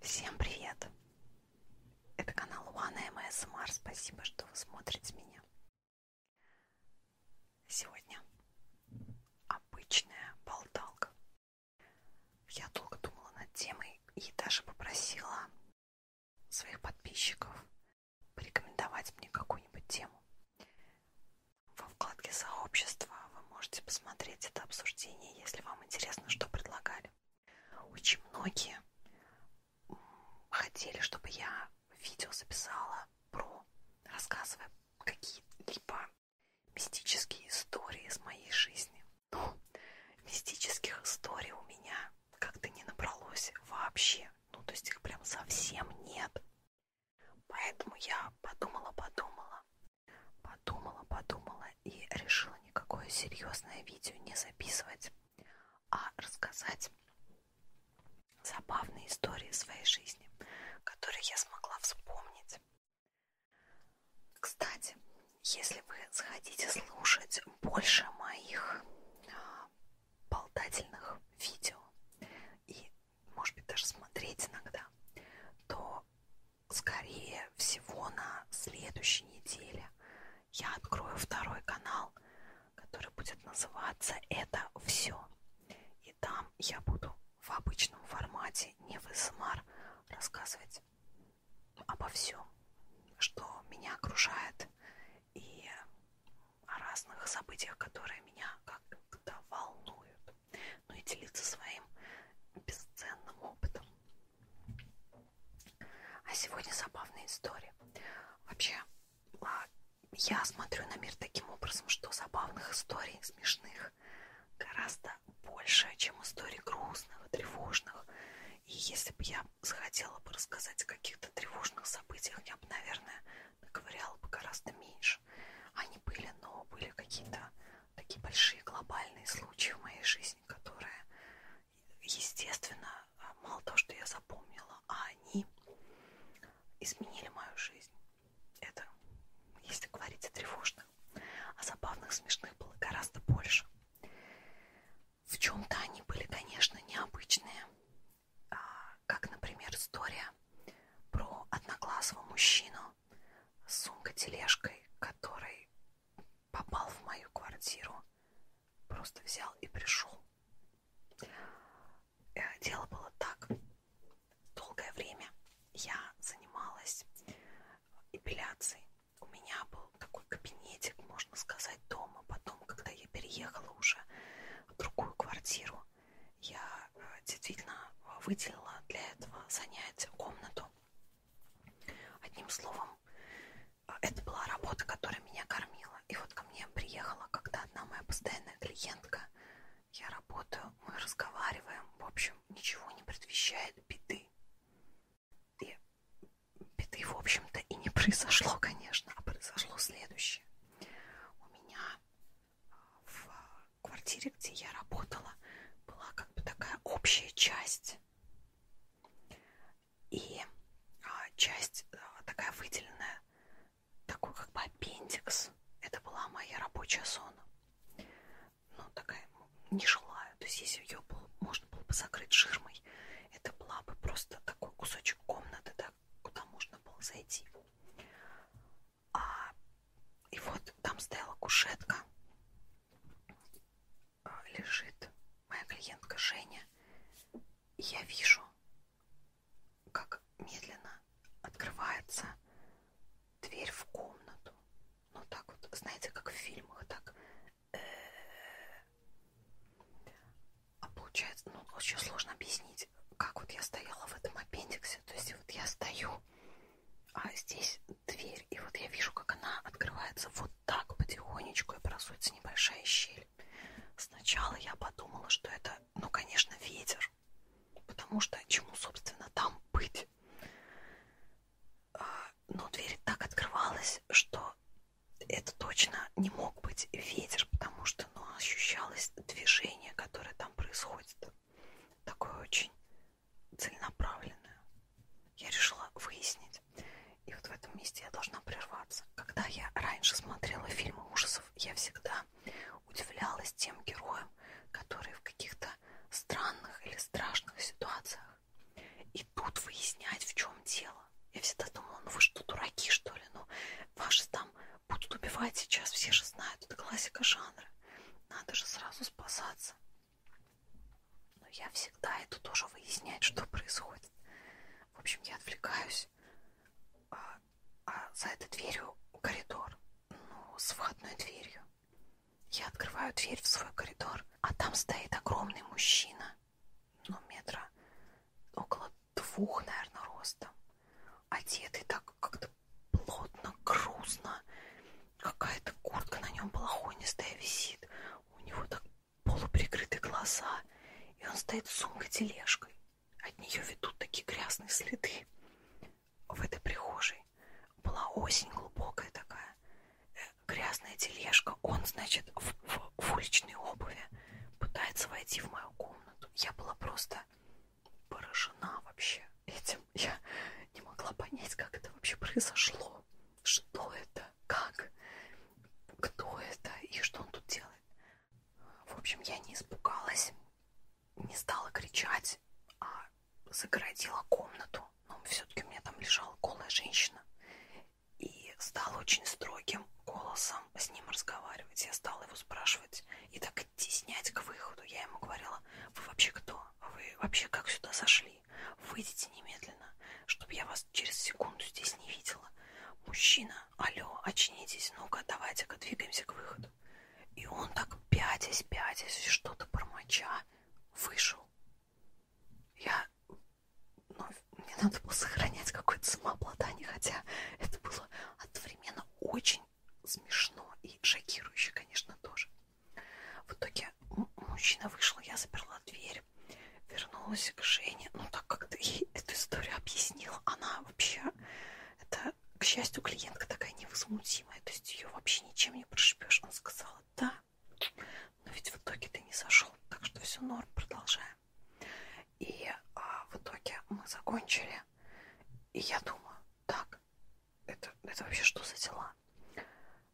Всем привет! Это канал OneMSMR. Спасибо, что вы смотрите меня. Сегодня обычная болталка. Я долго думала над темой и даже попросила своих подписчиков порекомендовать мне какую-нибудь тему. Во вкладке сообщества вы можете посмотреть это обсуждение, если вам интересно, что предлагали. Очень многие хотели, чтобы я видео записала про, рассказывая какие-либо мистические истории из моей жизни. Но ну, мистических историй у меня как-то не набралось вообще. Ну, то есть их прям совсем нет. Поэтому я подумала-подумала Подумала, подумала и решила никакое серьезное видео не записывать, а рассказать забавные истории своей жизни, которые я смогла вспомнить. Кстати, если вы захотите слушать больше моих а, болтательных видео и, может быть, даже смотреть иногда, то скорее всего на следующей неделе я открою второй канал, который будет называться «Это все». И там я буду в обычном формате, не в СМР, рассказывать обо всем, что меня окружает, и о разных событиях, которые меня как-то волнуют ну и делиться своим бесценным опытом. А сегодня забавная история. Вообще, а, я смотрю на мир таким образом, что забавных историй, смешных, гораздо больше, чем историй грустных, тревожных. И если бы я захотела бы рассказать о каких-то тревожных событиях, я бы, наверное, наковыряла бы гораздо меньше. Они были, но были какие-то такие большие глобальные случаи в моей жизни, которые, естественно, а, мало того, что я запомнила, а они изменили мою жизнь. Это, если говорить о тревожных, а забавных, смешных было гораздо больше. В чем-то они были, конечно, необычные, а, как, например, история про одноглазого мужчину, сумка-тележкой, который попал в мою квартиру, просто взял и пришел. Э, дело было так. Долгое время я занималась эпиляцией. У меня был такой кабинетик, можно сказать, дома. Потом, когда я переехала уже в другую квартиру, я Э, действительно выделила для этого занятия комнату. Одним словом, э, это была работа, которая меня кормила. И вот ко мне приехала когда одна моя постоянная клиентка. Я работаю, мы разговариваем. В общем, ничего не предвещает беды. И беды, в общем-то, и не произошло, конечно, а произошло следующее. У меня э, в квартире, где я работала, была как бы такая общая часть. И а, часть а, такая выделенная, такой как бы аппендикс. Это была моя рабочая зона. Ну, такая ну, нежилая. То есть, если ее было, можно было бы закрыть ширмой, это была бы просто такой кусочек комнаты, да, куда можно было зайти. А, и вот там стояла кушетка, а, лежит моя клиентка Женя. И я вижу, как медленно открывается дверь в комнату. Ну так вот, знаете, как в фильмах, так. Э, а получается, ну очень сложно объяснить, как вот я стояла в этом аппендиксе. То есть вот я стою а здесь дверь, и вот я вижу, как она открывается вот так потихонечку, и образуется небольшая щель. Сначала я подумала, что это, ну, конечно, ветер, потому что чему, собственно, там быть? А, но дверь так открывалась, что это точно не мог быть ветер, потому что, ну, ощущалось движение, которое там происходит. Такое очень целенаправленную. Я решила выяснить. И вот в этом месте я должна прерваться. Когда я раньше смотрела фильмы ужасов, я всегда удивлялась тем героям, которые в каких-то странных или страшных ситуациях идут выяснять, в чем дело. Я всегда думала, ну вы что, дураки, что ли? Ну, ваши там будут убивать сейчас, все же знают. Это классика жанра. Надо же сразу спасаться. Но я всегда иду тоже выяснять, что происходит. В общем, я отвлекаюсь. А, а за этой дверью коридор. Ну, с входной дверью. Я открываю дверь в свой коридор, а там стоит огромный мужчина. Ну, метра около двух, наверное, ростом. Одетый так как-то плотно, грустно. Какая-то куртка на нем балахонистая висит. У него так полуприкрыты глаза. И он стоит с сумкой-тележкой. От нее ведут такие грязные следы. В этой прихожей была осень глубокая такая. Э, грязная тележка. Он, значит, в, в, в уличной обуви пытается войти в мою комнату. Я была просто поражена вообще этим. Я не могла понять, как это вообще произошло. Что это? Как? Кто это? И что он тут делает? В общем, я не испугалась, не стала кричать, а загородила комнату. Но все-таки у меня там лежала голая женщина. И стала очень строгим голосом с ним разговаривать. Я стала его спрашивать и так идти снять к выходу. Я ему говорила, вы вообще кто? А вы вообще как сюда зашли? Выйдите немедленно, чтобы я вас через секунду здесь не видела. Мужчина, алло, очнитесь, ну-ка, давайте-ка двигаемся к выходу. И он так пятясь, пятясь, что-то промоча, вышел. Я... Ну, мне надо было сохранять какое-то самообладание, хотя это было одновременно очень смешно и шокирующе, конечно, тоже. В итоге мужчина вышел, я заперла дверь, вернулась к Жене. Ну, так как ты ей эту историю объяснила, она вообще, это, к счастью, клиентка такая невозмутимая, то есть ее вообще ничем не прошибешь. Она сказала, да, но ведь в итоге ты не сошел, так что все норм, продолжаем. И а, в итоге мы закончили, и я думаю, так, это, это вообще что за дела? дома.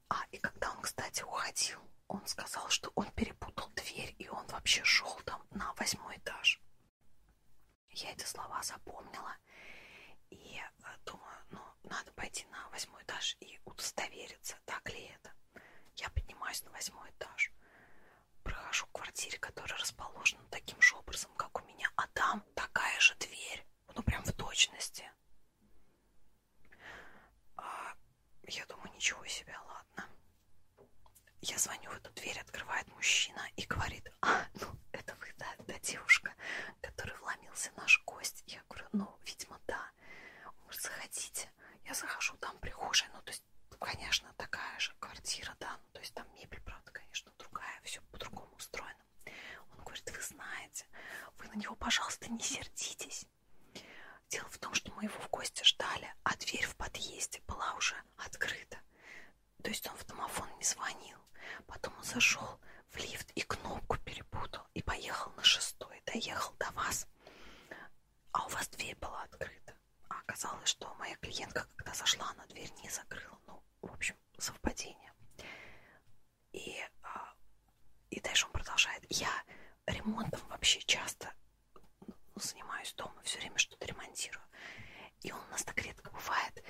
А, и когда он, кстати, уходил, он сказал, что он перепутал дверь, и он вообще шел там на восьмой этаж. Я эти слова запомнила и э, думаю, ну, надо пойти на восьмой этаж и удостовериться, так ли это. Я поднимаюсь на восьмой этаж, прохожу к квартире, которая расположена таким же образом, как у меня, а там такая же дверь, ну, прям в точности месте. А, я думаю, ничего себе, ладно. Я звоню в эту дверь, открывает мужчина и говорит, а, ну, это вы, да, да, девушка, который вломился наш гость. Я говорю, ну, видимо, да. Может, заходите. Я захожу, там прихожая, ну, то есть, конечно, такая же квартира, да, ну, то есть там мебель, правда, конечно, другая, все по-другому устроено. Гагарином. Он говорит, вы знаете, вы на него, пожалуйста, не сердитесь. Дело в том, что мы его в гости ждали, а дверь в подъезде была уже открыта. То есть он в домофон не звонил. Потом он зашел в лифт и кнопку перепутал и поехал на шестой, доехал до вас. А у вас дверь была открыта. А оказалось, что моя клиентка, когда зашла, она дверь не закрыла. Ну, в общем, совпадение. И, а, и дальше он продолжает. Я ремонтом вообще часто ну, занимаюсь дома, все время что-то ремонтирую. И он у нас так редко бывает.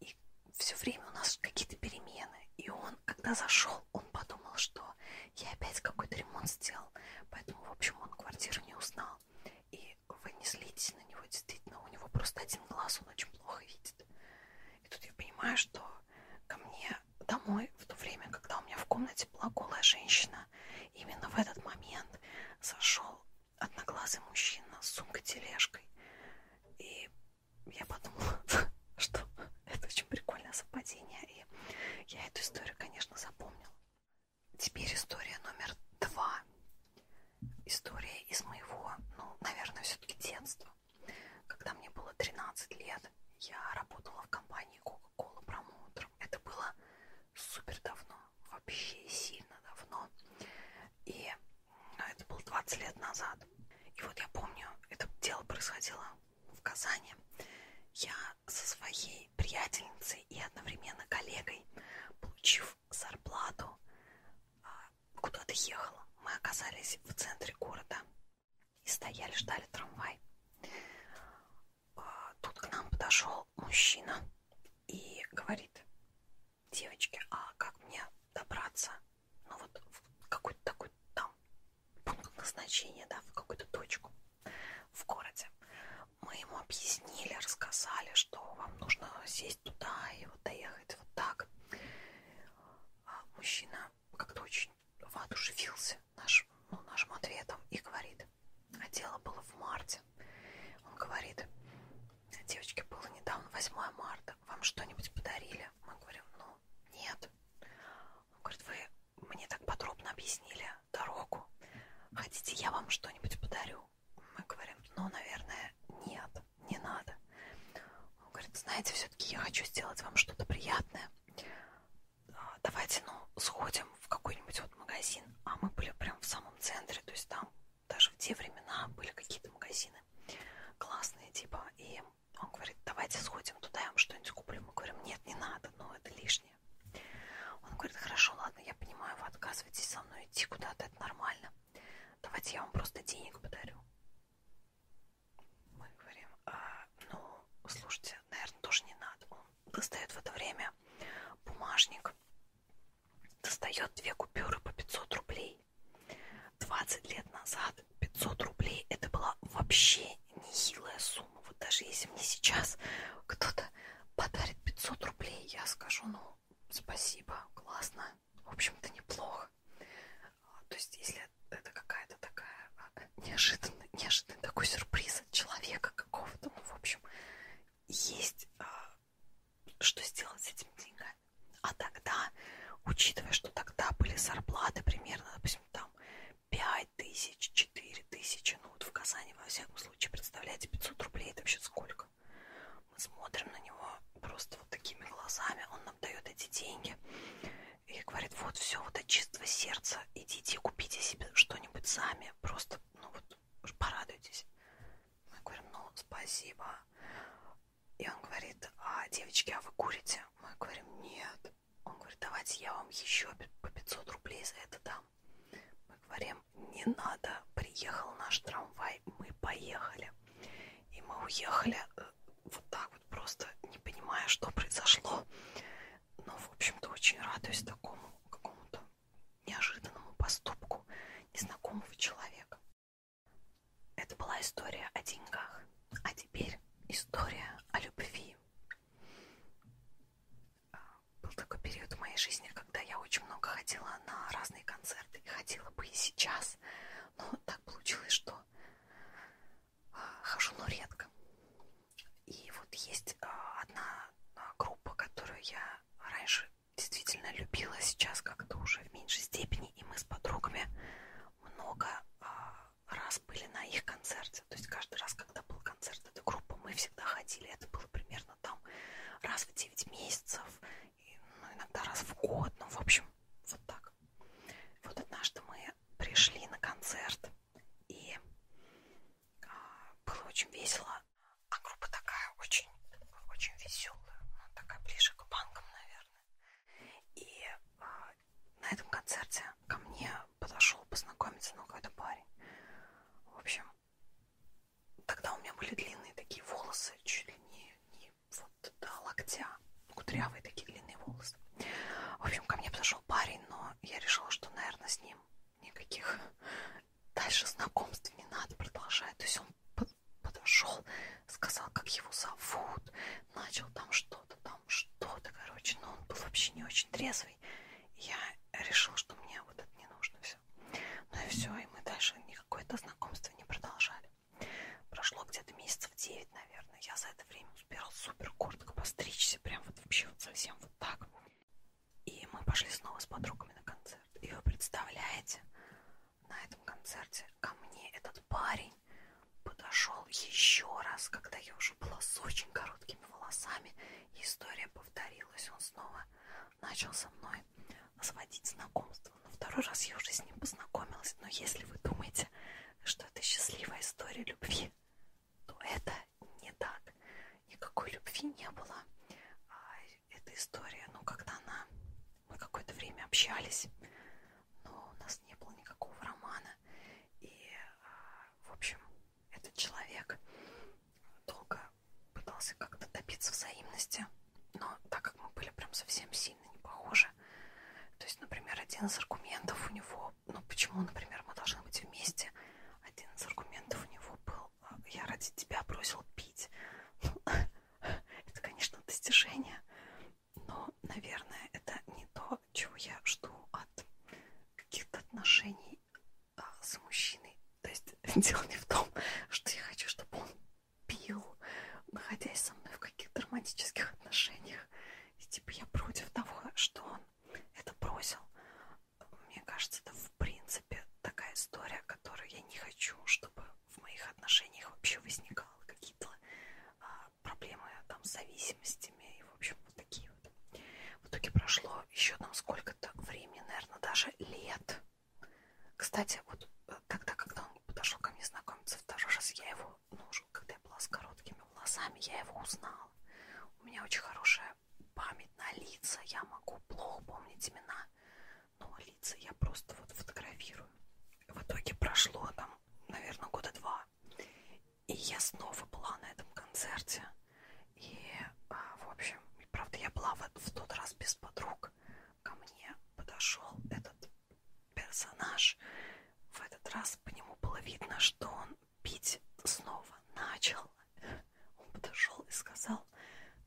И все время у нас какие-то перемены. И он, когда зашел, он подумал, что я опять какой-то ремонт сделал. Поэтому, в общем, он квартиру не узнал. И вы не злитесь на него, действительно, у него просто один глаз, он очень плохо видит. И тут я понимаю, что ко мне домой в то время, когда у меня в комнате была голая женщина, именно в этот момент зашел одноглазый мужчина с сумкой-тележкой. И я подумала, что это очень прикольное совпадение. И я эту историю, конечно, запомнила. Теперь история номер два. История из моего, ну, наверное, все-таки детства. Когда мне было 13 лет, я работала в компании Coca-Cola Promoter. Это было супер давно, вообще сильно давно. И а, это было 20 лет назад. И вот я помню, это дело происходило в Казани. Я со своей приятельницей и одновременно коллегой, получив зарплату, а, куда-то ехала. Мы оказались в центре города и стояли, ждали трамвай. А, тут к нам подошел мужчина и говорит, девочки, а как мне добраться? Ну вот в какой-то такой там пункт назначения, да, в какую-то точку в городе. Мы ему объяснили, рассказали, что вам нужно сесть туда и вот доехать вот так. А мужчина как-то очень воодушевился наш, ну, нашим ответом и говорит, а дело было в марте. Он говорит, девочке было недавно 8 марта, вам что-нибудь подарили? Мы говорим, ну, нет. Он говорит, вы мне так подробно объяснили дорогу, хотите, я вам что-нибудь подарю? Мы говорим, ну, наверное, нет, не надо. Он говорит, знаете, все-таки я хочу сделать вам что-то приятное. А, давайте, ну, сходим в какой-нибудь вот магазин. А мы были прям в самом центре, то есть там даже в те времена были какие-то магазины классные, типа, и он говорит, давайте сходим туда, я вам что-нибудь куплю. Мы говорим, нет, не надо, но ну, это лишнее. Он говорит, хорошо, ладно, я понимаю, вы отказываетесь со мной идти куда-то, это нормально. Давайте я вам просто денег подарю. Мы говорим, а, ну, слушайте, наверное, тоже не надо. Он достает в это время бумажник, достает две купюры по 500 рублей. 20 лет назад 500 рублей это была вообще нехилая сумма. Вот даже если мне сейчас кто-то подарит 500 рублей, я скажу, ну, спасибо, классно, в общем-то, неплохо. А, то есть, если это какая-то такая а, неожиданный, неожиданный такой сюрприз от человека какого-то, ну, в общем, есть а, что сделать с этими деньгами. А тогда, учитывая, что тогда были зарплаты примерно, допустим, там 5 тысяч, 4 тысячи, ну вот в Казани, во всяком случае, представляете, 500 рублей, это вообще сколько? Мы смотрим на него просто вот такими глазами, он он дает эти деньги и говорит, вот все, вот от чистого сердца идите, купите себе что-нибудь сами, просто, ну вот, порадуйтесь. Мы говорим, ну, спасибо. И он говорит, а, девочки, а вы курите? Мы говорим, нет. Он говорит, давайте я вам еще по 500 рублей за это дам. Мы говорим, не надо, приехал наш трамвай, мы поехали. И мы уехали э, вот так вот просто не понимая, что произошло. Но, в общем-то, очень радуюсь такому какому-то неожиданному поступку незнакомого человека. Это была история о деньгах. А теперь история о любви. А, был такой период в моей жизни, когда я очень много ходила на разные концерты. Ходила бы и сейчас. Но так получилось, что хожу, но редко. И вот есть а, одна а, группа, которую я раньше действительно любила, сейчас как-то уже в меньшей степени, и мы с подругами много а, раз были на их концерте. То есть каждый раз, когда был концерт этой группы, мы всегда ходили. Это было примерно там раз в 9 месяцев, и, ну, иногда раз в год, ну, в общем, вот так. Вот однажды мы пришли на концерт, и а, было очень весело. А группа такая очень, очень веселая, такая ближе к банкам, наверное. И а, на этом концерте ко мне подошел познакомиться ну, какой-то парень. В общем, тогда у меня были длинные такие волосы, чуть ли не, не вот до локтя, кудрявые такие длинные волосы. В общем, ко мне подошел парень, но я решила, что, наверное, с ним никаких дальше знакомств не надо продолжать. То есть он подошел, сказал, как его зовут, начал там что-то, там что-то, короче, но он был вообще не очень трезвый. Я решила, что мне вот это не нужно все. Ну и все, и мы дальше никакое-то знакомство не продолжали. Прошло где-то месяцев 9, наверное. Я за это время успела супер коротко постричься. Прям вот вообще вот совсем вот так. И мы пошли снова с подругами на концерт. И вы представляете, на этом концерте ко мне этот парень подошел еще раз, когда я уже была с очень короткими волосами. И история повторилась. Он снова начал со мной сводить знакомство. Второй раз я уже с ним познакомилась, но если вы думаете, что это счастливая история любви, то это не так. Никакой любви не было. А, эта история, ну, когда она... Мы какое-то время общались, но у нас не было никакого романа. И, а, в общем, этот человек долго пытался как-то добиться взаимности, но так как мы были прям совсем сильны, сильно не похожи. То есть, например, один из аргументов у него, ну почему, например, мы должны быть вместе, один из аргументов у него был, а, я ради тебя бросил пить. Ну, это, конечно, достижение, но, наверное, это не то, чего я жду от каких-то отношений а, с мужчиной. То есть дело не в том, что я хочу, чтобы он пил, находясь со мной в каких-то романтических отношениях. И типа я против того, что он это бросил. Мне кажется, это в принципе такая история, которую я не хочу, чтобы в моих отношениях вообще возникало какие-то а, проблемы там с зависимостями и в общем вот такие вот. В итоге прошло еще там сколько-то времени, наверное, даже лет. Кстати, вот э, тогда, когда он подошел ко мне знакомиться второй раз, я его нужен, когда я была с короткими волосами, я его узнала. У меня очень хорошая память на лица, я могу плохо помнить имена, но лица я просто вот фотографирую. В итоге прошло там, наверное, года два, и я снова была на этом концерте. И, а, в общем, правда, я была в, в тот раз без подруг. Ко мне подошел этот персонаж. В этот раз по нему было видно, что он пить снова начал. Он подошел и сказал,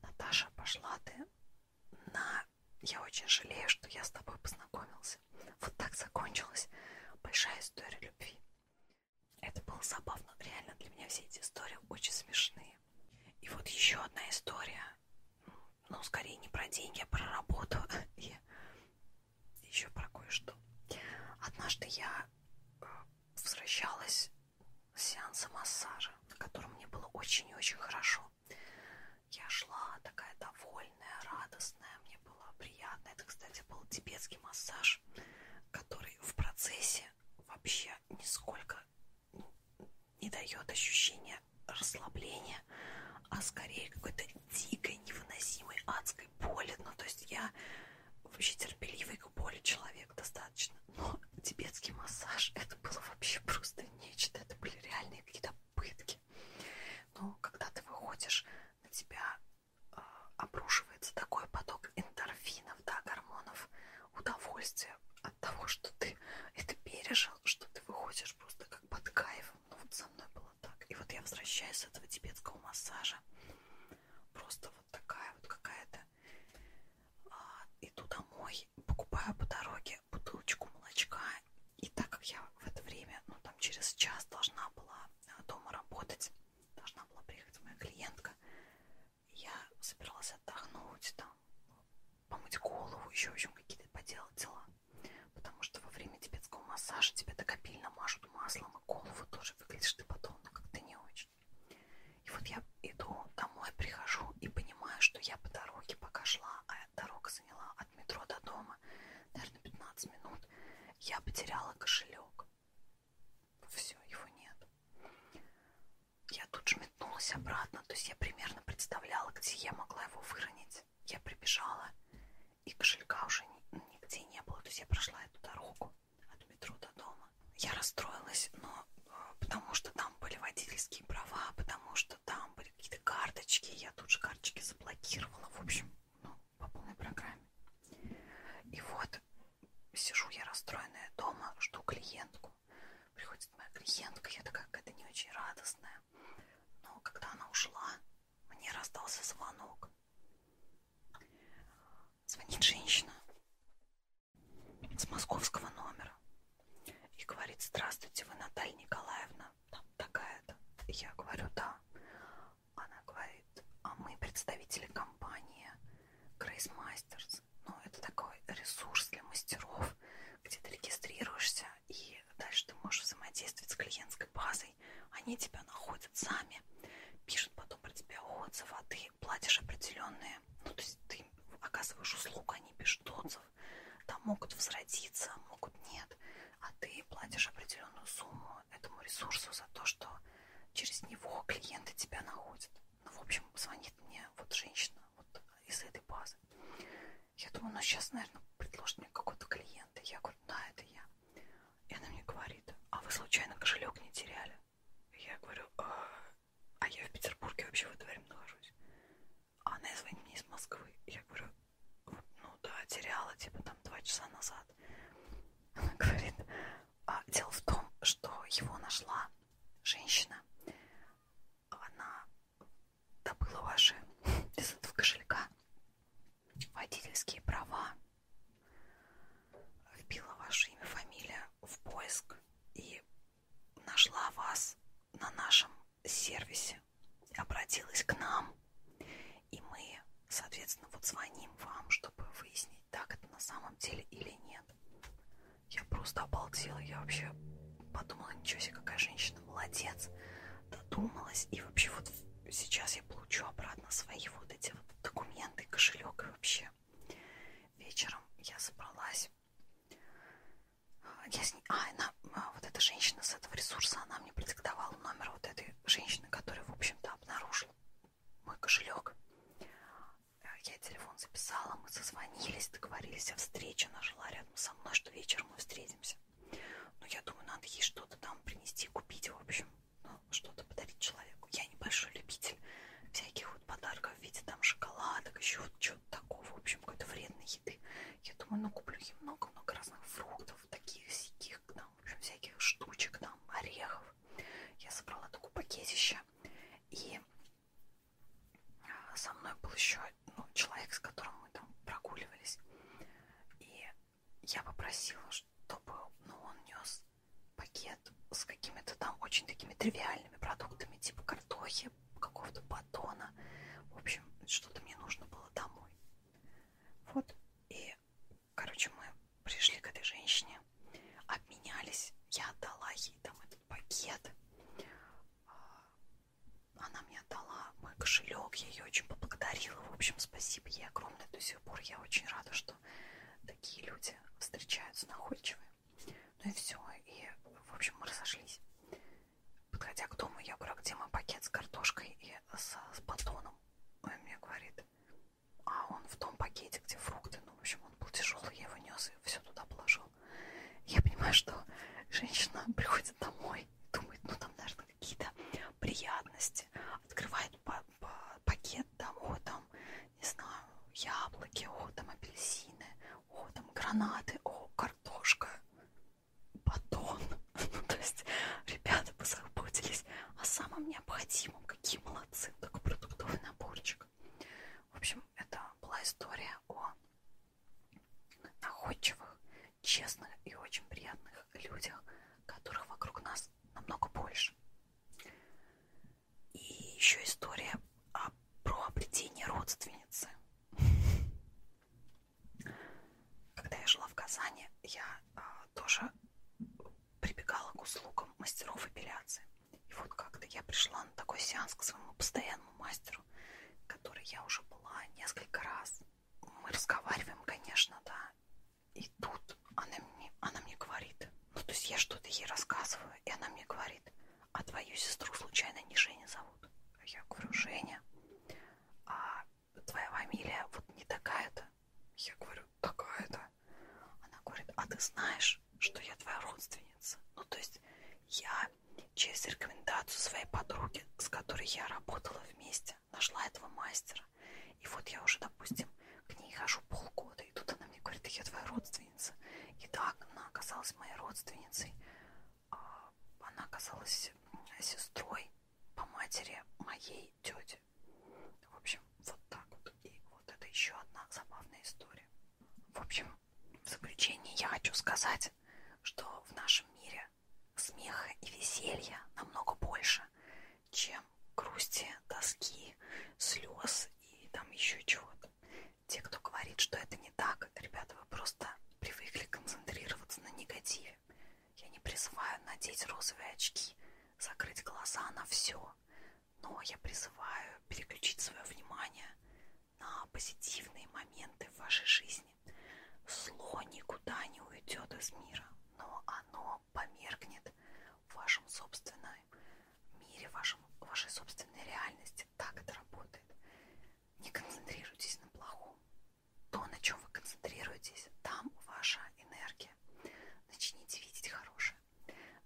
Наташа, пошла ты на... Я очень жалею, что я с тобой познакомился. Вот так закончилась большая история любви. Это было забавно. Реально для меня все эти истории очень смешные. И вот еще одна история ну, скорее не про деньги, а про работу и еще про кое-что. Однажды я э, возвращалась с сеанса массажа, на котором мне было очень и очень хорошо. Я шла такая довольная, радостная, мне было приятно. Это, кстати, был тибетский массаж, который в процессе вообще нисколько не дает ощущения расслабления, а скорее какой-то дикой, невыносимой, адской боли. Ну, то есть я вообще терпеливый к боли человек достаточно. Но тибетский массаж, это было вообще просто нечто. Это были реальные какие-то пытки. Но когда ты выходишь, на тебя э, обрушивается такой поток эндорфинов, да, гормонов, удовольствия от того, что ты это пережил, что ты выходишь просто как под кайфом. Ну, вот со мной было было так. И вот я возвращаюсь с этого тибетского массажа. Просто вот такая вот какая-то. А, иду домой, покупаю по дороге бутылочку молочка. И так как я в это время, ну там через час должна была а, дома работать, должна была приехать моя клиентка, я собиралась отдохнуть там, помыть голову, еще в общем какие-то поделать дела. Потому что во время тибетского массажа тебя так обильно мажут маслом, и голову тоже выглядишь ты потом, но как-то не очень. И вот я иду домой, прихожу и понимаю, что я по дороге пока шла, а дорога заняла от метро до дома, наверное, 15 минут, я потеряла кошелек. Все, его нет. Я тут же метнулась обратно, то есть я примерно представляла, где я могла его выронить опять я прибежала, и кошелька уже нигде не было. То есть я прошла эту дорогу от метро до дома. Я расстроилась, но э, потому что там были водительские права, потому что там были какие-то карточки, я тут же карточки заблокировала, в общем, ну, по полной программе. И вот сижу я расстроенная дома, жду клиентку. Приходит моя клиентка, я такая какая-то не очень радостная. Но когда она ушла, мне раздался звонок. Звонит женщина с московского номера и говорит, здравствуйте, вы Наталья Николаевна, там такая-то. Я говорю, да. Она говорит, а мы представители компании Grace Masters. Ну, это такой ресурс для мастеров, где ты регистрируешься находишься, и дальше ты можешь взаимодействовать с клиентской базой, они тебя находят сами, пишут потом про тебя отзывы, а ты платишь определенные, ну то есть ты оказываешь услугу, они пишут отзыв, там могут возродиться, могут нет, а ты платишь определенную сумму этому ресурсу за то, что через него клиенты тебя находят. Ну, в общем, звонит мне вот женщина вот из этой базы. Я думаю, ну сейчас, наверное, предложит мне какого-то клиента. Я говорю, да, это я. И она мне говорит, а вы случайно кошелек не теряли? И я говорю, а, а я в Петербурге вообще в это время нахожусь. А она звонит мне из Москвы. И я говорю, ну да, теряла, типа там два часа назад. Она говорит, а дело в том, что его нашла женщина. Она забыла ваши из этого кошелька водительские права, вбила ваше имя, фамилия в поиск и нашла вас на нашем сервисе, обратилась к нам, и мы, соответственно, вот звоним вам, чтобы выяснить, так это на самом деле или нет. Я просто обалдела, я вообще подумала, ничего себе, какая женщина конечно, молодец, додумалась, и вообще вот сейчас я получу обратно свои вот эти вот документы, кошелек и вообще. Вечером я собралась. Я с ней... А, она, а, вот эта женщина с этого ресурса, она мне продиктовала номер вот этой женщины, которая, в общем-то, обнаружила мой кошелек. Я телефон записала, мы созвонились, договорились о встрече. Она жила рядом со мной, что вечером мы встретимся. Ну, я думаю, надо ей что-то там принести, купить, в общем, ну, что-то подарить человеку. Я небольшой любитель всяких вот подарков в виде там шоколадок, еще вот чего-то такого, в общем, какой-то вредной еды. Я думаю, ну, куплю ей много-много разных фруктов, таких сяких, там, в общем, всяких штучек, там, орехов. Я собрала такое пакетище, и а, со мной был еще ну, человек, с которым мы там прогуливались. И я попросила, чтобы ну, он нес пакет с какими-то там очень такими тривиальными продуктами, типа картохи, какого-то батона. В общем, что-то мне нужно было домой. Вот. И, короче, мы пришли к этой женщине, обменялись. Я отдала ей там этот пакет. А, она мне дала мой кошелек, я ее очень поблагодарила. В общем, спасибо ей огромное до сих пор. Я очень рада, что такие люди встречаются находчивые. Ну и все. И, в общем, мы разошлись. Подходя к дому, я говорю, «А где мой пакет с картошкой и с, с батоном? Он мне говорит, а он в том пакете, где фрукты. Ну, в общем, он был тяжелый, я его нес и все туда положил. Я понимаю, что женщина приходит домой думает, ну там, наверное, какие-то приятности, открывает пакет, там, о, там, не знаю, яблоки, о, там, апельсины, о, там, гранаты, о, картошка, батон. Ну, то есть ребята позаботились о самом необходимом. Какие молодцы, такой продуктовый наборчик. В общем, это была история о находчивых, честных и очень приятных людях, которых вокруг нас намного больше. И еще история о, про обретение родственницы. Когда я жила в Казани, я а, тоже прибегала к услугам мастеров эпиляции. И вот как-то я пришла на такой сеанс к своему постоянному мастеру, который я уже была несколько раз мы разговариваем, конечно, да. И тут она мне, она мне говорит, ну то есть я что-то ей рассказываю, и она мне говорит, а твою сестру случайно не Женя зовут? А я говорю, Женя, а твоя фамилия вот не такая-то? Я говорю, такая-то. Она говорит, а ты знаешь, что я твоя родственница? Ну то есть я через рекомендацию своей подруги, с которой я работала вместе, нашла этого мастера. И вот я уже, допустим, к ней хожу полгода, и тут она мне говорит, я твоя родственница. И так она оказалась моей родственницей. А она оказалась сестрой по матери моей тети. В общем, вот так вот. И вот это еще одна забавная история. В общем, в заключение я хочу сказать, что в нашем мире смеха и веселья намного больше, чем грусти, тоски, слез и там еще чего-то. Те, кто говорит, что это не так, ребята, вы просто привыкли концентрироваться на негативе. Я не призываю надеть розовые очки, закрыть глаза на все, но я призываю переключить свое внимание на позитивные моменты в вашей жизни жизни. Зло никуда не уйдет из мира, но оно померкнет в вашем собственном мире, в вашем, вашей собственной реальности. Так это работает. Не концентрируйтесь на плохом. То, на чем вы концентрируетесь, там ваша энергия. Начните видеть хорошее.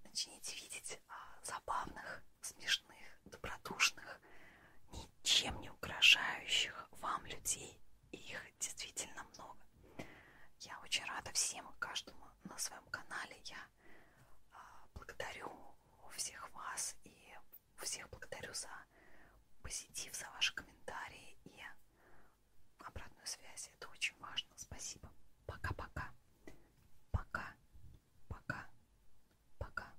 Начните видеть а, забавных, смешных, добродушных, ничем не угрожающих вам людей их действительно много. Я очень рада всем и каждому на своем канале. Я а, благодарю всех вас и всех благодарю за позитив, за ваши комментарии и обратную связь. Это очень важно. Спасибо. Пока-пока. Пока. Пока. Пока.